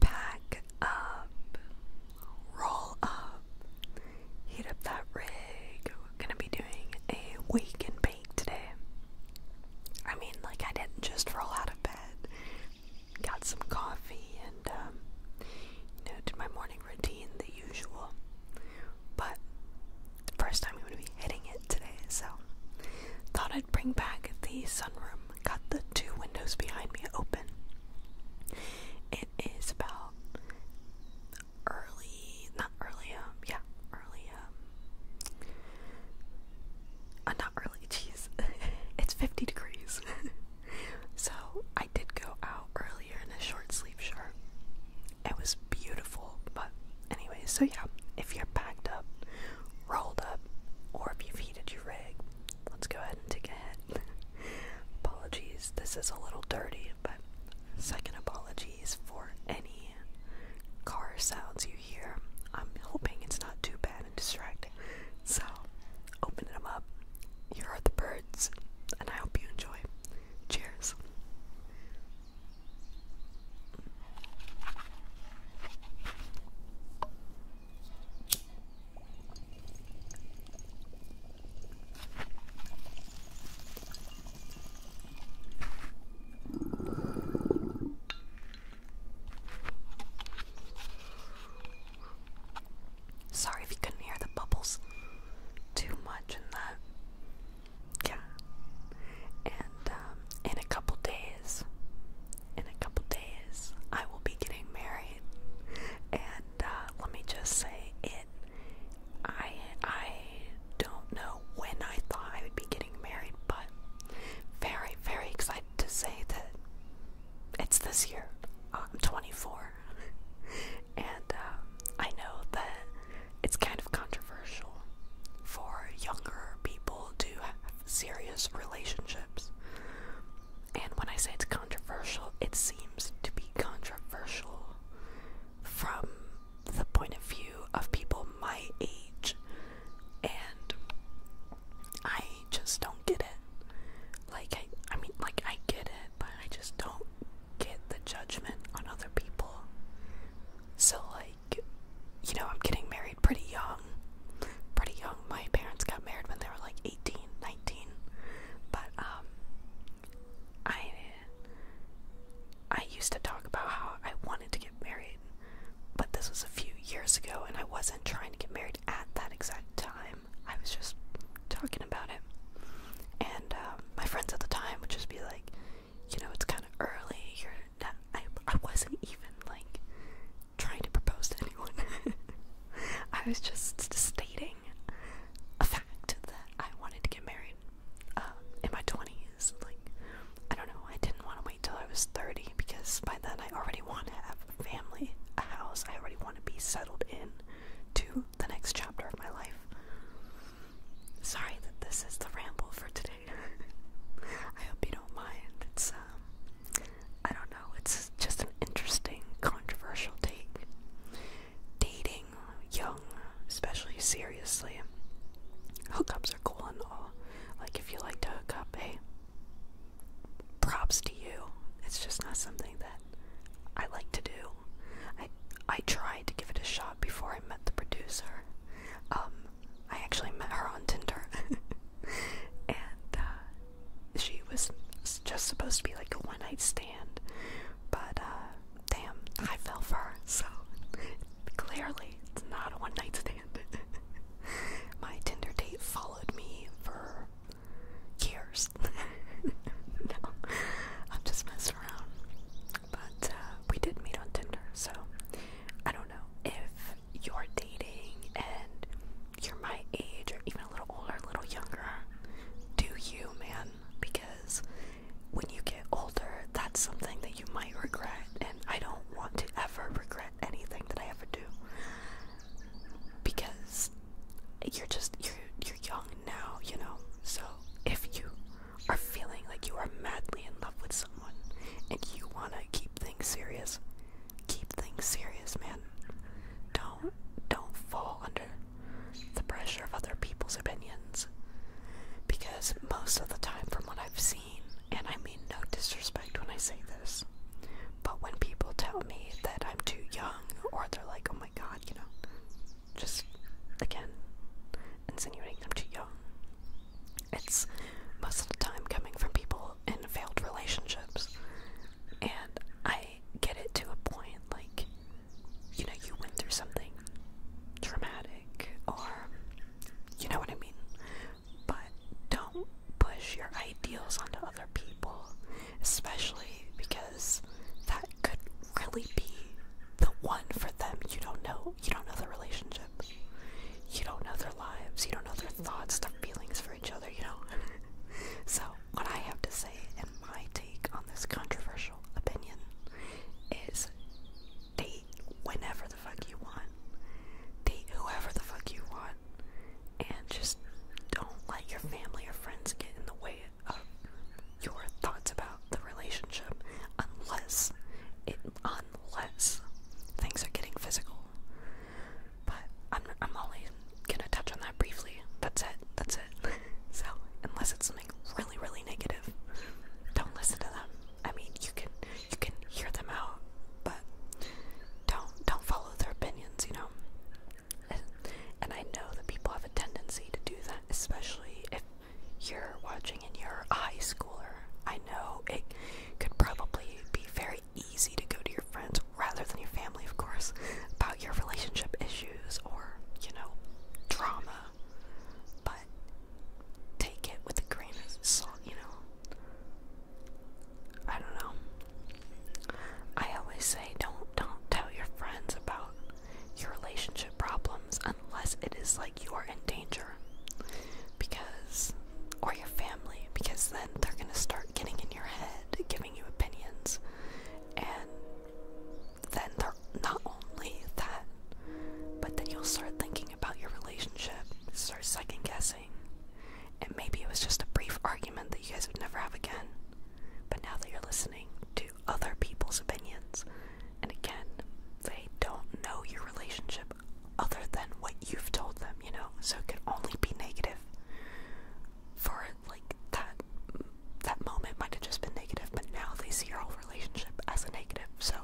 Pack up, roll up, heat up that rig. We're gonna be doing a wake and bake today. I mean, like, I didn't just roll out of bed, got some coffee, and, um, you know, did my morning routine, the usual. But the first time I'm gonna be hitting it today, so thought I'd bring back the sunroom got the two windows behind me open. It is about early, not early, um, yeah, early, um, uh, not early, jeez, it's 50 degrees. so I did go out earlier in a short sleeve shirt. It was beautiful, but anyway, so yeah, if you're packed up, rolled up, or if you've heated your rig, let's go ahead and take apologies, this is a little dirty, but second apologies for any car sounds you hear. I'm hoping it's not too bad and distracting. So, open them up. Here are the birds, and I hope you enjoy. Cheers. Sorry if you couldn't hear the bubbles too much in that. Yeah. And um, in a couple days, in a couple days, I will be getting married. And uh, let me just say it. I I don't know when I thought I would be getting married, but very very excited to say that it's this year. I'm 24, and uh, I know that it's kind of controversial for younger people to serious relationships. And when I say it's controversial, it seems to be controversial from the point of view of people my age. And I just don't get it. Like, I, I mean, like, I get it, but I just don't get the judgment on other people. So, like, you know, I'm getting married pretty young. Pretty young. My parents got married when they were like 18 18, 19, but um, I I used to talk about how I wanted to get married, but this was a few years ago, and I wasn't trying to get married at that exact time. I was just talking about it, and um, my friends at the time would just be like, you know, it's kind of early. You're not. I I wasn't even like trying to propose to anyone. I was just stating a fact that I wanted to get married uh, in my 20s. Like, I don't know, I didn't want to wait till I was 30 because by then I already want to have a family, a house, I already want to be settled in to the next chapter of my life. Sorry that this is the ramble for today. I hope you don't mind. It's um I don't know, it's just an interesting, controversial take. Dating young, especially seriously. Hookups are cool and all. Like, if you like to hook up, hey, props to you. It's just not something that I like to do. I, I tried to give it a shot before I met the producer. Um, I actually met her on Tinder. and uh, she was just supposed to be like a one night stand, but uh, damn, I fell for it. so clearly it's not a one night stand. My Tinder date followed me for years. I'm just messing around. But uh, we did meet on Tinder, so I don't know if you're dating and you're my age or even a little older, a little younger, do you, man? Because when you get older, that's something that you might regret, and I don't want to ever regret anything that I ever do. Because you're just you're you're young now, you know. So if you are feeling like you are madly in love with someone and you wanna keep things serious, keep things serious, man. Don't don't fall under the pressure of other people's opinions. Because most of the time from what I've seen, and I mean no disrespect when I say this, but when people tell me that I'm too young or they're like, oh my god, you know, just again, insinuating I'm too young. It's most of the time coming from people in failed relationships and I get it to a point like, you know, you went through something traumatic or, you know what I mean? But don't push your ideals onto other people, especially because that could really be the one for them. You don't know. You don't know their relationship. You don't know their lives. You don't know their thoughts, their feelings for each other, you know? so, what I have to say and my take on this controversial opinion is date whenever the fuck you want, date whoever the fuck you want, and just don't let your family or friends get in the way of your thoughts about the relationship unless it unless things are getting physical. But I'm I'm only gonna touch on that briefly. That's it. That's it. so unless it's something really really negative, don't listen to them. I mean, you can you can hear them out, but don't don't follow their opinions. You know. And, and I know that people have a tendency to do that, especially if you're watching and you're a high schooler. I know it could probably be very easy to go to your friends rather than your family, of course, about your relationship issues or, you know, drama. But take it with a grain of salt, you know. I don't know. I always say don't don't tell your friends about your relationship problems unless it is like you're in danger because or your family because then they're going to start getting in your head giving you opinions. And then they're not only that, but then you'll start thinking about your relationship, start second guessing. And maybe it was just a brief argument that you guys would never have again. But now that you're listening to other people's opinions, and again, they don't know your relationship other than what you've told them, you know? So it could only be negative for before, like that that moment might have just been negative, but now they see your whole relationship as a negative, so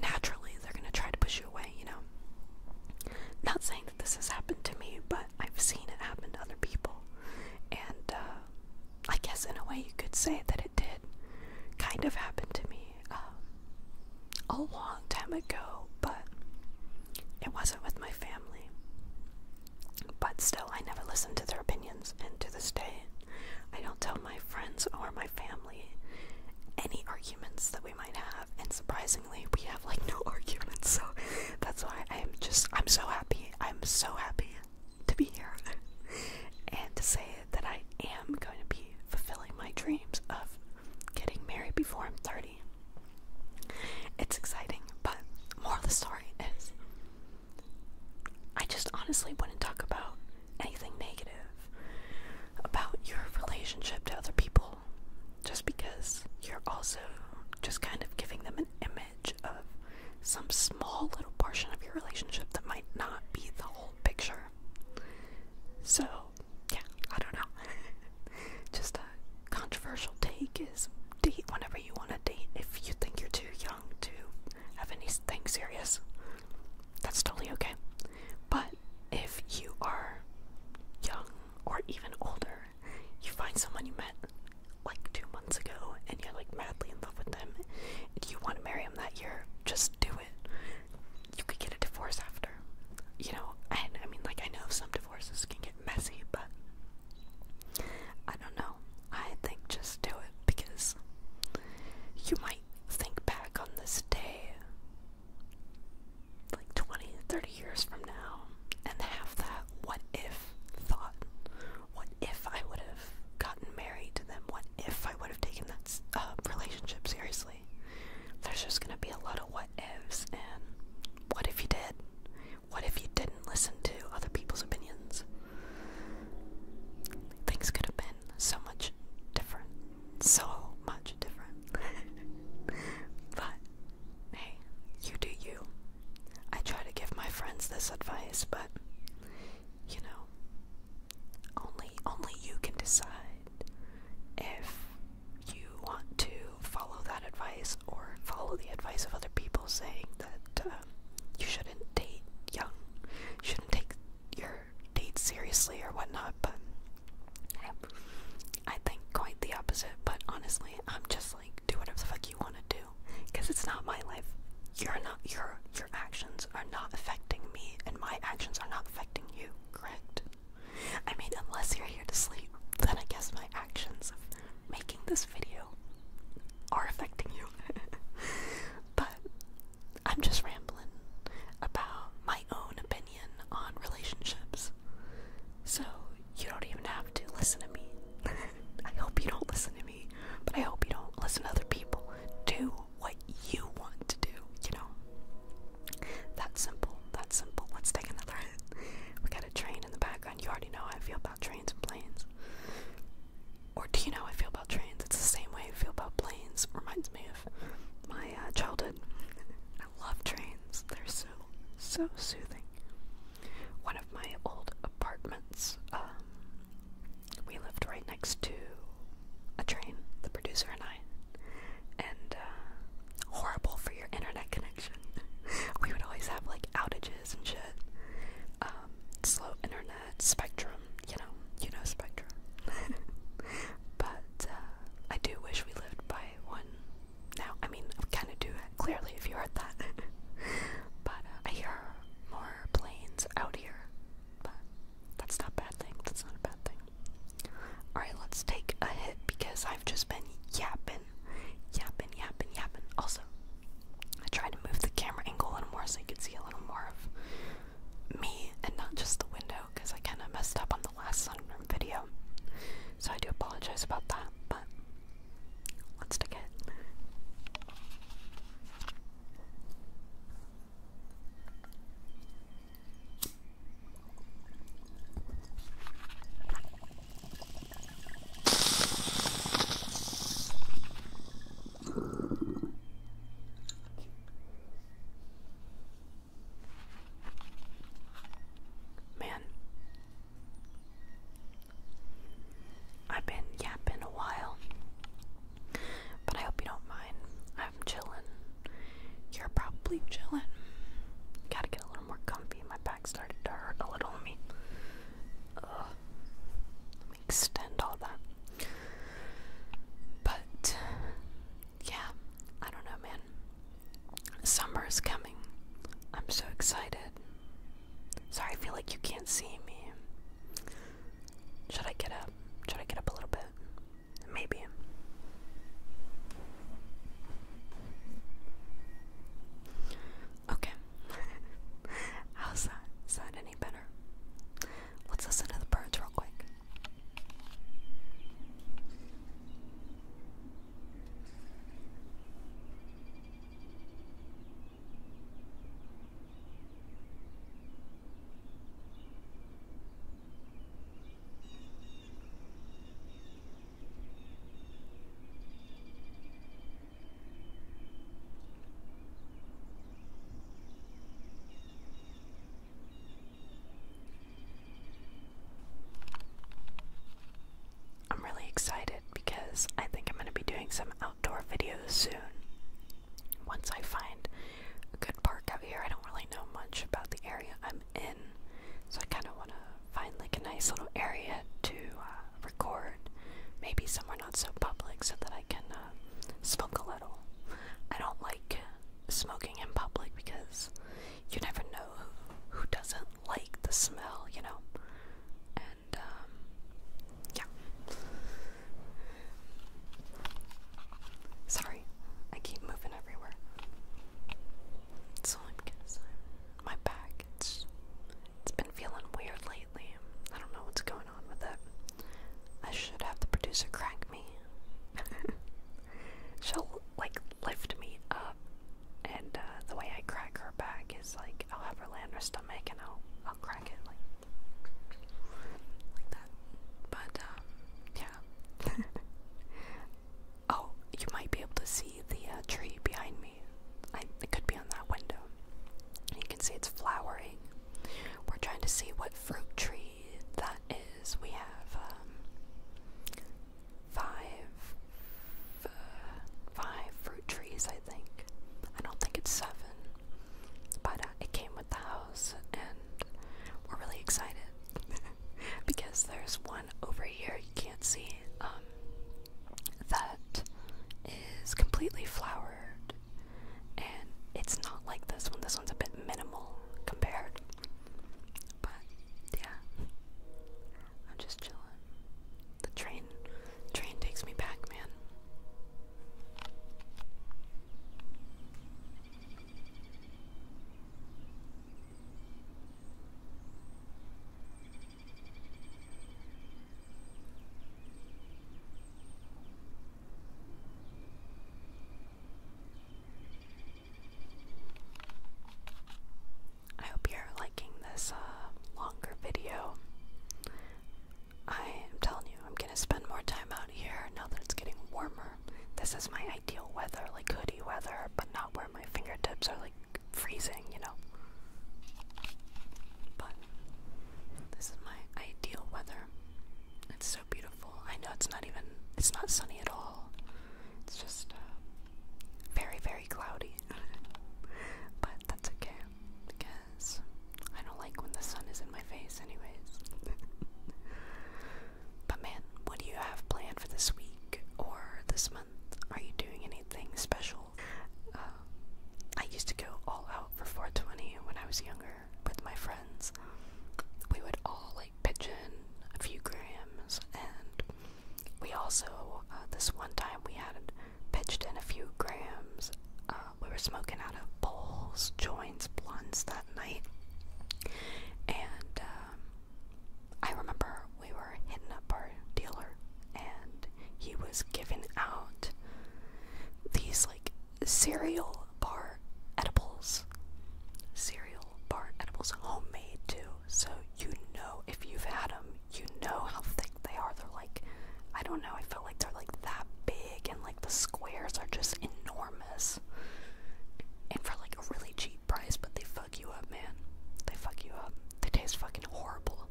naturally they're gonna try to push you away, you know. Not saying that this has happened to me, but I've seen it happen to other people, and uh, I guess in a way you could say that it did kind of happen to me um, a long time ago, but it wasn't with my family. But still, I never listen to their opinions, and to this day, I don't tell my friends or my family any arguments that we might have, and surprisingly, we have like no arguments, so that's why I'm just, I'm so happy. I'm so happy to be here and to say that I am going to be fulfilling my dreams of getting married before I'm 30. It's exciting, but more of the story is I just honestly wouldn't talk about anything negative about your relationship to other people just because you're also just kind of giving them an image of some small little portion of your relationship that might not be the whole picture. So, yeah, I don't know. just uh, controversial take is date whenever you want to date if you think you're too young to have anything serious. That's totally okay. But if you are young or even older, you find someone you met like two months ago and you're like madly in love with them and you want to marry him that year, just do it. You could get a divorce after. You know, and I mean like I know some divorce divorces can get messy, but I don't know. I think just do it because you might think back on this day like 20, 30 years from now and have that what if thought. What if I would have gotten married to them? What if I would have taken that uh, relationship seriously? There's just gonna be a lot of what ifs, and what if you did? What if you didn't listen to other people's opinions? Things could have been so much different. So much different. but hey, you do you. I try to give my friends this advice, but you know, only only you can decide if you want to follow that advice or follow the advice of other people saying that um, you shouldn't date young, shouldn't take your date seriously or whatnot, but I think quite the opposite. But honestly, I'm just like, do whatever the fuck you want to do, because it's not my life. You're not your your actions are not affecting me, and my actions are not affecting you. Correct? I mean, unless you're here to sleep, then I guess my actions making this video are affecting you. but I'm just rambling about my own opinion on relationships. So you don't even have to listen to me. I hope you don't listen to me, but I hope you don't listen to other people. Do what you want to do, you know? That's simple. That's simple. Let's take another we got a train in the background. You already know how I feel about trains and planes. Or do you know how I feel about trains? It's the same way I feel about planes. Reminds me of my uh, childhood. I love trains. They're so, so soothing. One of my old apartments, um, we lived right next to a train, the producer and I. And uh, horrible for your internet connection. we would always have like outages and shit. Um, slow internet, Spectrum, you know, you know Spectrum. but uh, I do wish we lived by one now. I mean, I kind of do clearly, if you heard that. but uh, I hear more planes out here. But that's not a bad thing. That's not a bad thing. Alright, let's take a hit because I've just been yapping yapping, yapping, yapping, Also, I tried to move the camera angle a little more so you could see a little more of me and not just the window because I kind of messed up on the last sunroom video. So I do apologize about that, but let's take Man, I've been yapping a while, but I hope you don't mind. I'm chilling. You're probably chilling. Gotta get a little more comfy in my bed started to hurt a little. me extend all that. But yeah, I don't know, man. Summer is coming. I'm so excited. Sorry, I feel like you can't see me. Should I get up? Should I get up a little bit? Maybe. Okay. How's that? Is that any better? Let's listen to the birds real quick. I'm really excited because I think I'm going to be doing some outdoor videos soon. Once I find a good park out here, I don't really know much about the area I'm in, so I kind of want to find like a nice little area to uh, record, maybe somewhere not so public, so that I can uh, smoke a little. I don't like smoking in public because you never know who, who doesn't like the smell, you know. And um, yeah. Sorry, I keep moving everywhere. It's only because I'm my back. It's it's been feeling weird lately. I don't know what's going on with it. I should have the producer crank me. She'll like lift me up, and uh, the way I crank her back is like I'll have her land her stomach and I'll I'll crank it like like that. But uh, yeah, Oh, you might be able to see the uh, tree behind me. it could be on that window. You can see it's flowering. We're trying to see what fruit tree that is. We have um, five, five fruit trees, I think. I don't think it's seven, but uh, it came with the house, and we're really excited because there's one over here you can't see. Um, that is completely flowered and it's not like this one. This one's a bit minimal compared. But yeah. I'm just chilling. The train train takes me back, man. I hope you're liking this uh, longer video. I am telling you, I'm gonna spend more time out here now that it's getting warmer. This is my ideal weather, like hoodie weather, but not where my fingertips are like freezing, you know. But this is my ideal weather. It's so beautiful. I know it's not even, it's not sunny at all. It's just uh, very, very cloudy. but that's okay because I don't like when the sun is in my face, anyways. but man, what do you have planned for this week or this month? month? Are you doing anything special? Uh, I used to go all out for 420 when I was younger with my friends. We would all like pitch in a few grams, and we also, uh, this one time, we had pitched in a few grams. Uh, we were smoking out of bowls, joints, blunts that night, and um, I remember we were hitting up our dealer and he was giving out these like cereal bar edibles. Cereal bar edibles, homemade too. So you know if you've had them, you know how thick they are. They're like, I don't know, I feel like they're like that big and like the squares are just enormous. And for like a really cheap price, but they fuck you up, man. They fuck you up. They taste fucking horrible,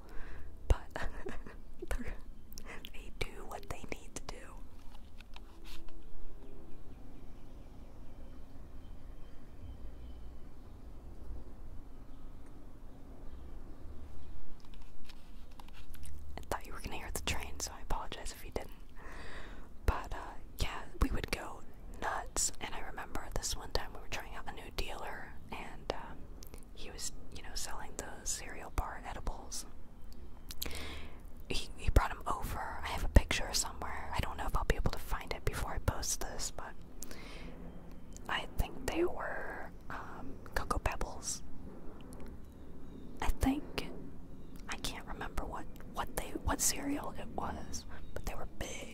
but they do what they need to do. I thought you were gonna hear the train, so I apologize if you didn't. But uh, yeah, we would go nuts. And I remember this one time we were trying out a new dealer, and um, he was, you know, selling those cereal bar edibles. He, he brought them over. I have a picture somewhere. I don't know if I'll be able to find it before I post this, but I think they were um, Cocoa Pebbles. I think I can't remember what what they what cereal it was, but they were big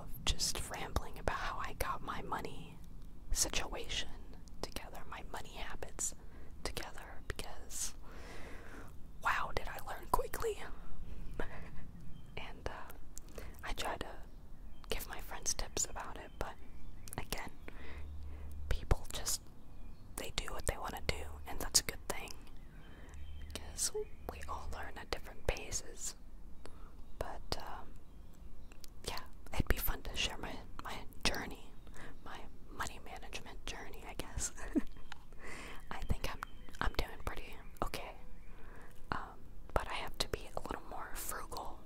of just rambling about how I got my money situation together, my money habits together, because wow, did I learn quickly. and uh, I try to give my friends tips about it, but again, people just they do what they want to do, and that's a good thing because we all learn at different paces. But um, yeah, it'd be fun to share my my journey, my money management journey, I guess. I think I'm I'm doing pretty okay, um, but I have to be a little more frugal.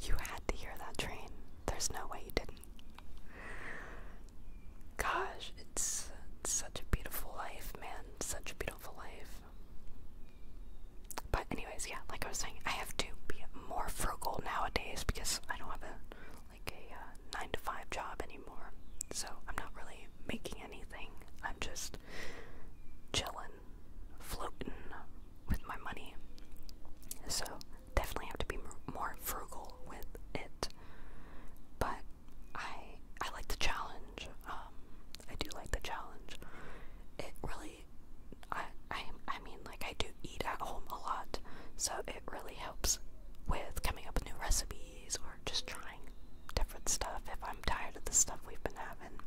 You had to hear that train. There's no way you didn't. Gosh, it's, such a beautiful life, man. Such a beautiful life. But anyways, yeah, like I was saying, I have to be more frugal nowadays because I don't have a like a uh, nine to five job anymore. So I'm not really making anything. I'm just chilling, floating with my money. So definitely have to be more frugal with it. But I I like the challenge. Um, I do like the challenge. It really I, I I mean like I do eat at home a lot, so it really helps with coming up with new recipes or just trying different stuff if I'm tired of the stuff we've been having.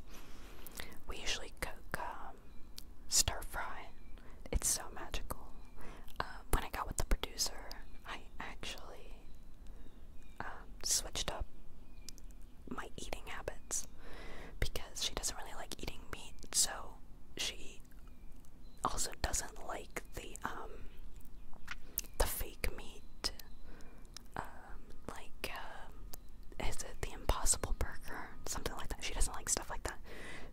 We usually cook um, stir fry. It's so magical. Uh, when I got with the producer, I actually um, switched up my eating habits because she doesn't really like eating meat, so she also doesn't like the um the fake meat. Um, like uh, is it the Impossible Burger? Something like that. She doesn't like stuff like that.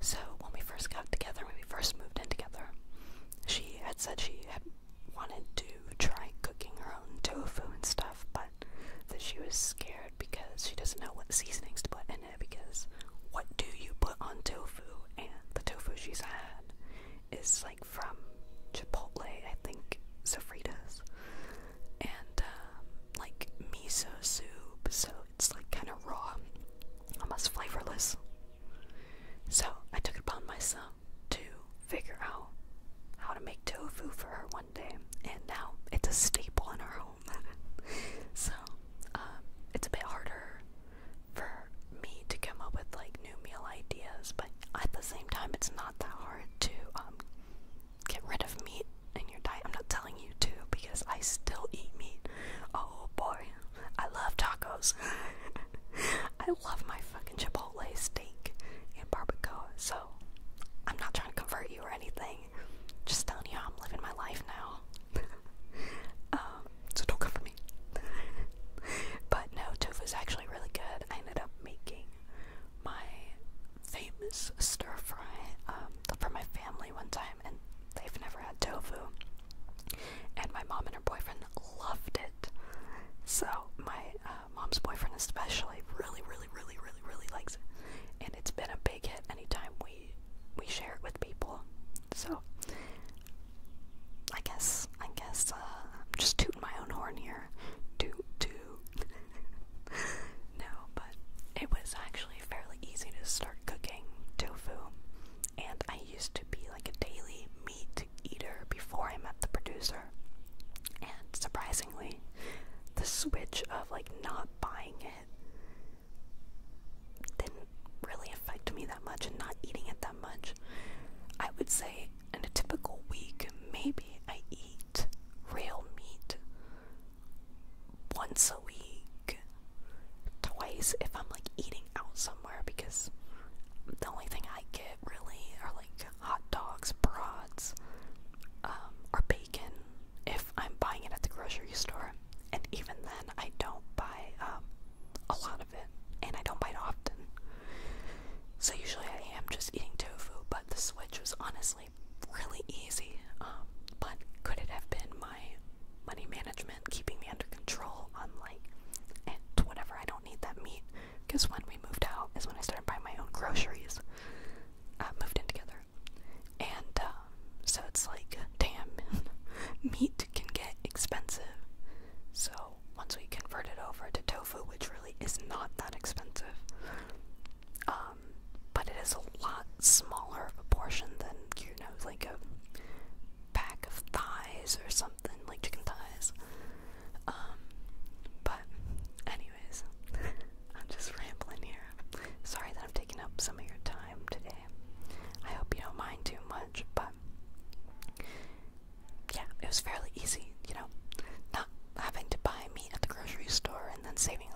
So when we first got together, when we first moved in together, she had said she had wanted to try cooking her own tofu and stuff, but that she was scared because she doesn't know what seasonings to put in because what do you put on tofu? And the tofu she's had is like from Chipotle, I think, Sofritas, and um, like miso soup, so it's like kind of raw, almost flavorless. So I took it upon myself to figure out how to make tofu for her one day, and now it's a staple in our home. so um, it's a bit harder for me to come up with like new meal ideas, but at the same time, it's not that hard to um, get rid of meat in your diet. I'm not telling you to because I still eat meat. Oh boy, I love tacos. I love my fucking Chipotle steak and barbecue. So I'm not trying to convert you or anything. Just telling you I'm living my life now. um, so don't come for me. but no, tofu is actually really good. I ended up making my famous stir fry um, for my family one time, and they've never had tofu. And my mom and her boyfriend loved it. So my uh, mom's boyfriend especially really, really, really, really, really likes it. And it's been a big hit anytime we we share it with people. So I guess I guess uh, I'm just tooting my own horn here. do do. no, but it was actually fairly easy to start cooking tofu, and I used to be like a daily meat eater before I met the producer. And surprisingly, the switch of like not buying it didn't really affect me that much and not eating it that much. I would say in a typical week, maybe I eat real meat once a week, twice if I'm like eating out somewhere because the only thing I get really are like hot dogs, brats, um, or bacon if I'm buying it at the grocery store. And even then, I don't buy um, a lot of it, and I don't buy it often. So usually I am just eating tofu, but the switch was honestly really easy. Um, but could it have been my money management keeping me under control on like and eh, whatever I don't need that meat? Because when we moved out is when I started buying my own groceries. Uh, moved in together, and uh, so it's like, damn, meat can get expensive. So once we convert it over to tofu, which really is not that expensive, um, but it is a lot smaller of a portion than you know, like a pack of thighs or something, like chicken thighs. Um, but anyways, I'm just rambling here. Sorry that I'm taking up some of your time today. I hope you don't mind too much, but yeah, it was fairly easy, you know, not having to buy meat at the grocery store and then saving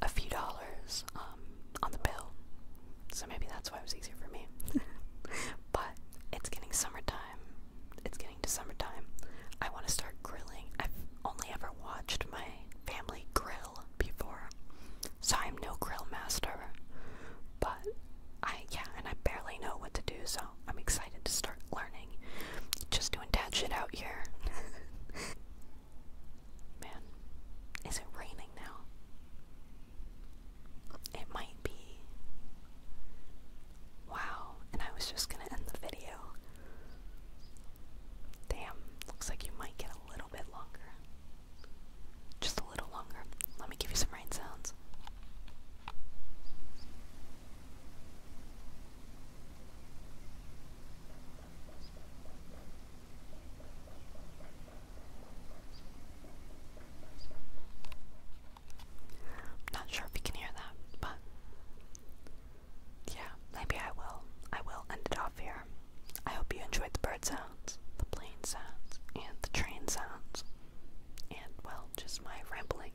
a few dollars um, on the bill. So maybe that's why it was easier for me. but it's getting summertime. It's getting to summertime. I want to start grilling. I've only ever watched my family grill before, so I'm no grill master, but I yeah, and I barely know what to do, so I'm excited to start learning. Just doing dad shit out here. Man, is it raining now? It might be. Wow, and I was just gonna end the video Damn, looks like you might get a little bit longer. Just a little longer. Let me give you some rain sounds. not sure if you can hear that, but yeah, maybe I will. I will end it off here. I hope you enjoyed the bird sounds, the plane sounds, and the train sounds, and well, just my rambling.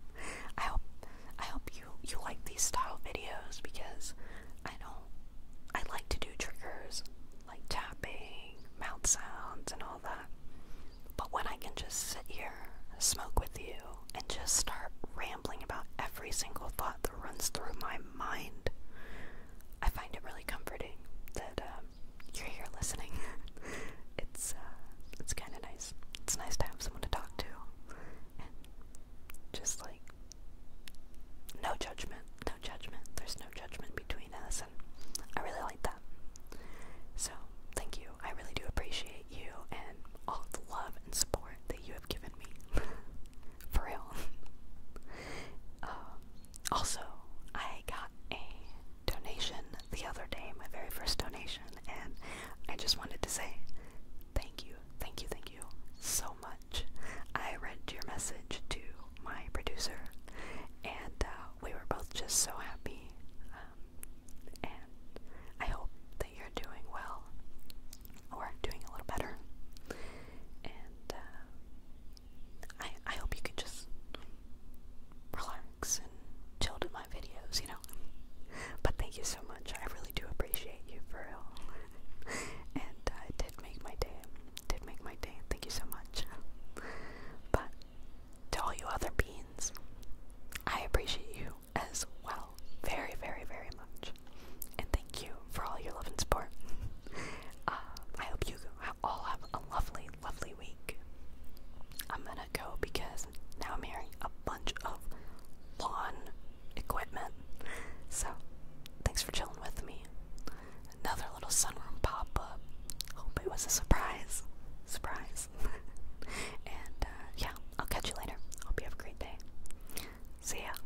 I hope I hope you you like these style videos because I don't I like to do triggers like tapping, mouth sounds, and all that. But when I can just sit here, smoke with you, and just start rambling about every single thought that runs through my mind. I find it really comforting that um, you're here listening. it's uh, it's kind of nice. It's nice to have someone to talk to, and just like no judgment, no judgment. There's no judgment between us, and I really like that. So thank you. I really do appreciate you and all the love and support you have given me. For real. Um, also, I got a donation the other day, my very first donation, and I just wanted to say thank you, thank you, thank you so much. I read your message to my producer, and uh, we were both just so happy. Um, and I hope that you're doing well or doing a little better. Uh, I I hope you can just relax and chill to my videos, you know. But thank you so much. I really do appreciate you for real, and uh, did make my day. did make my day. Thank you so much. but to all you other beans, I appreciate you as well, very, very, very much and thank you for all your love and support. Uh, I hope you all have a lovely, lovely week. I'm gonna go because now I'm hearing a bunch of lawn equipment. So, thanks for chilling with me. Another little sunroom pop up. Hope it was a surprise. Surprise. and uh, yeah, I'll catch you later. Hope you have a great day. See ya.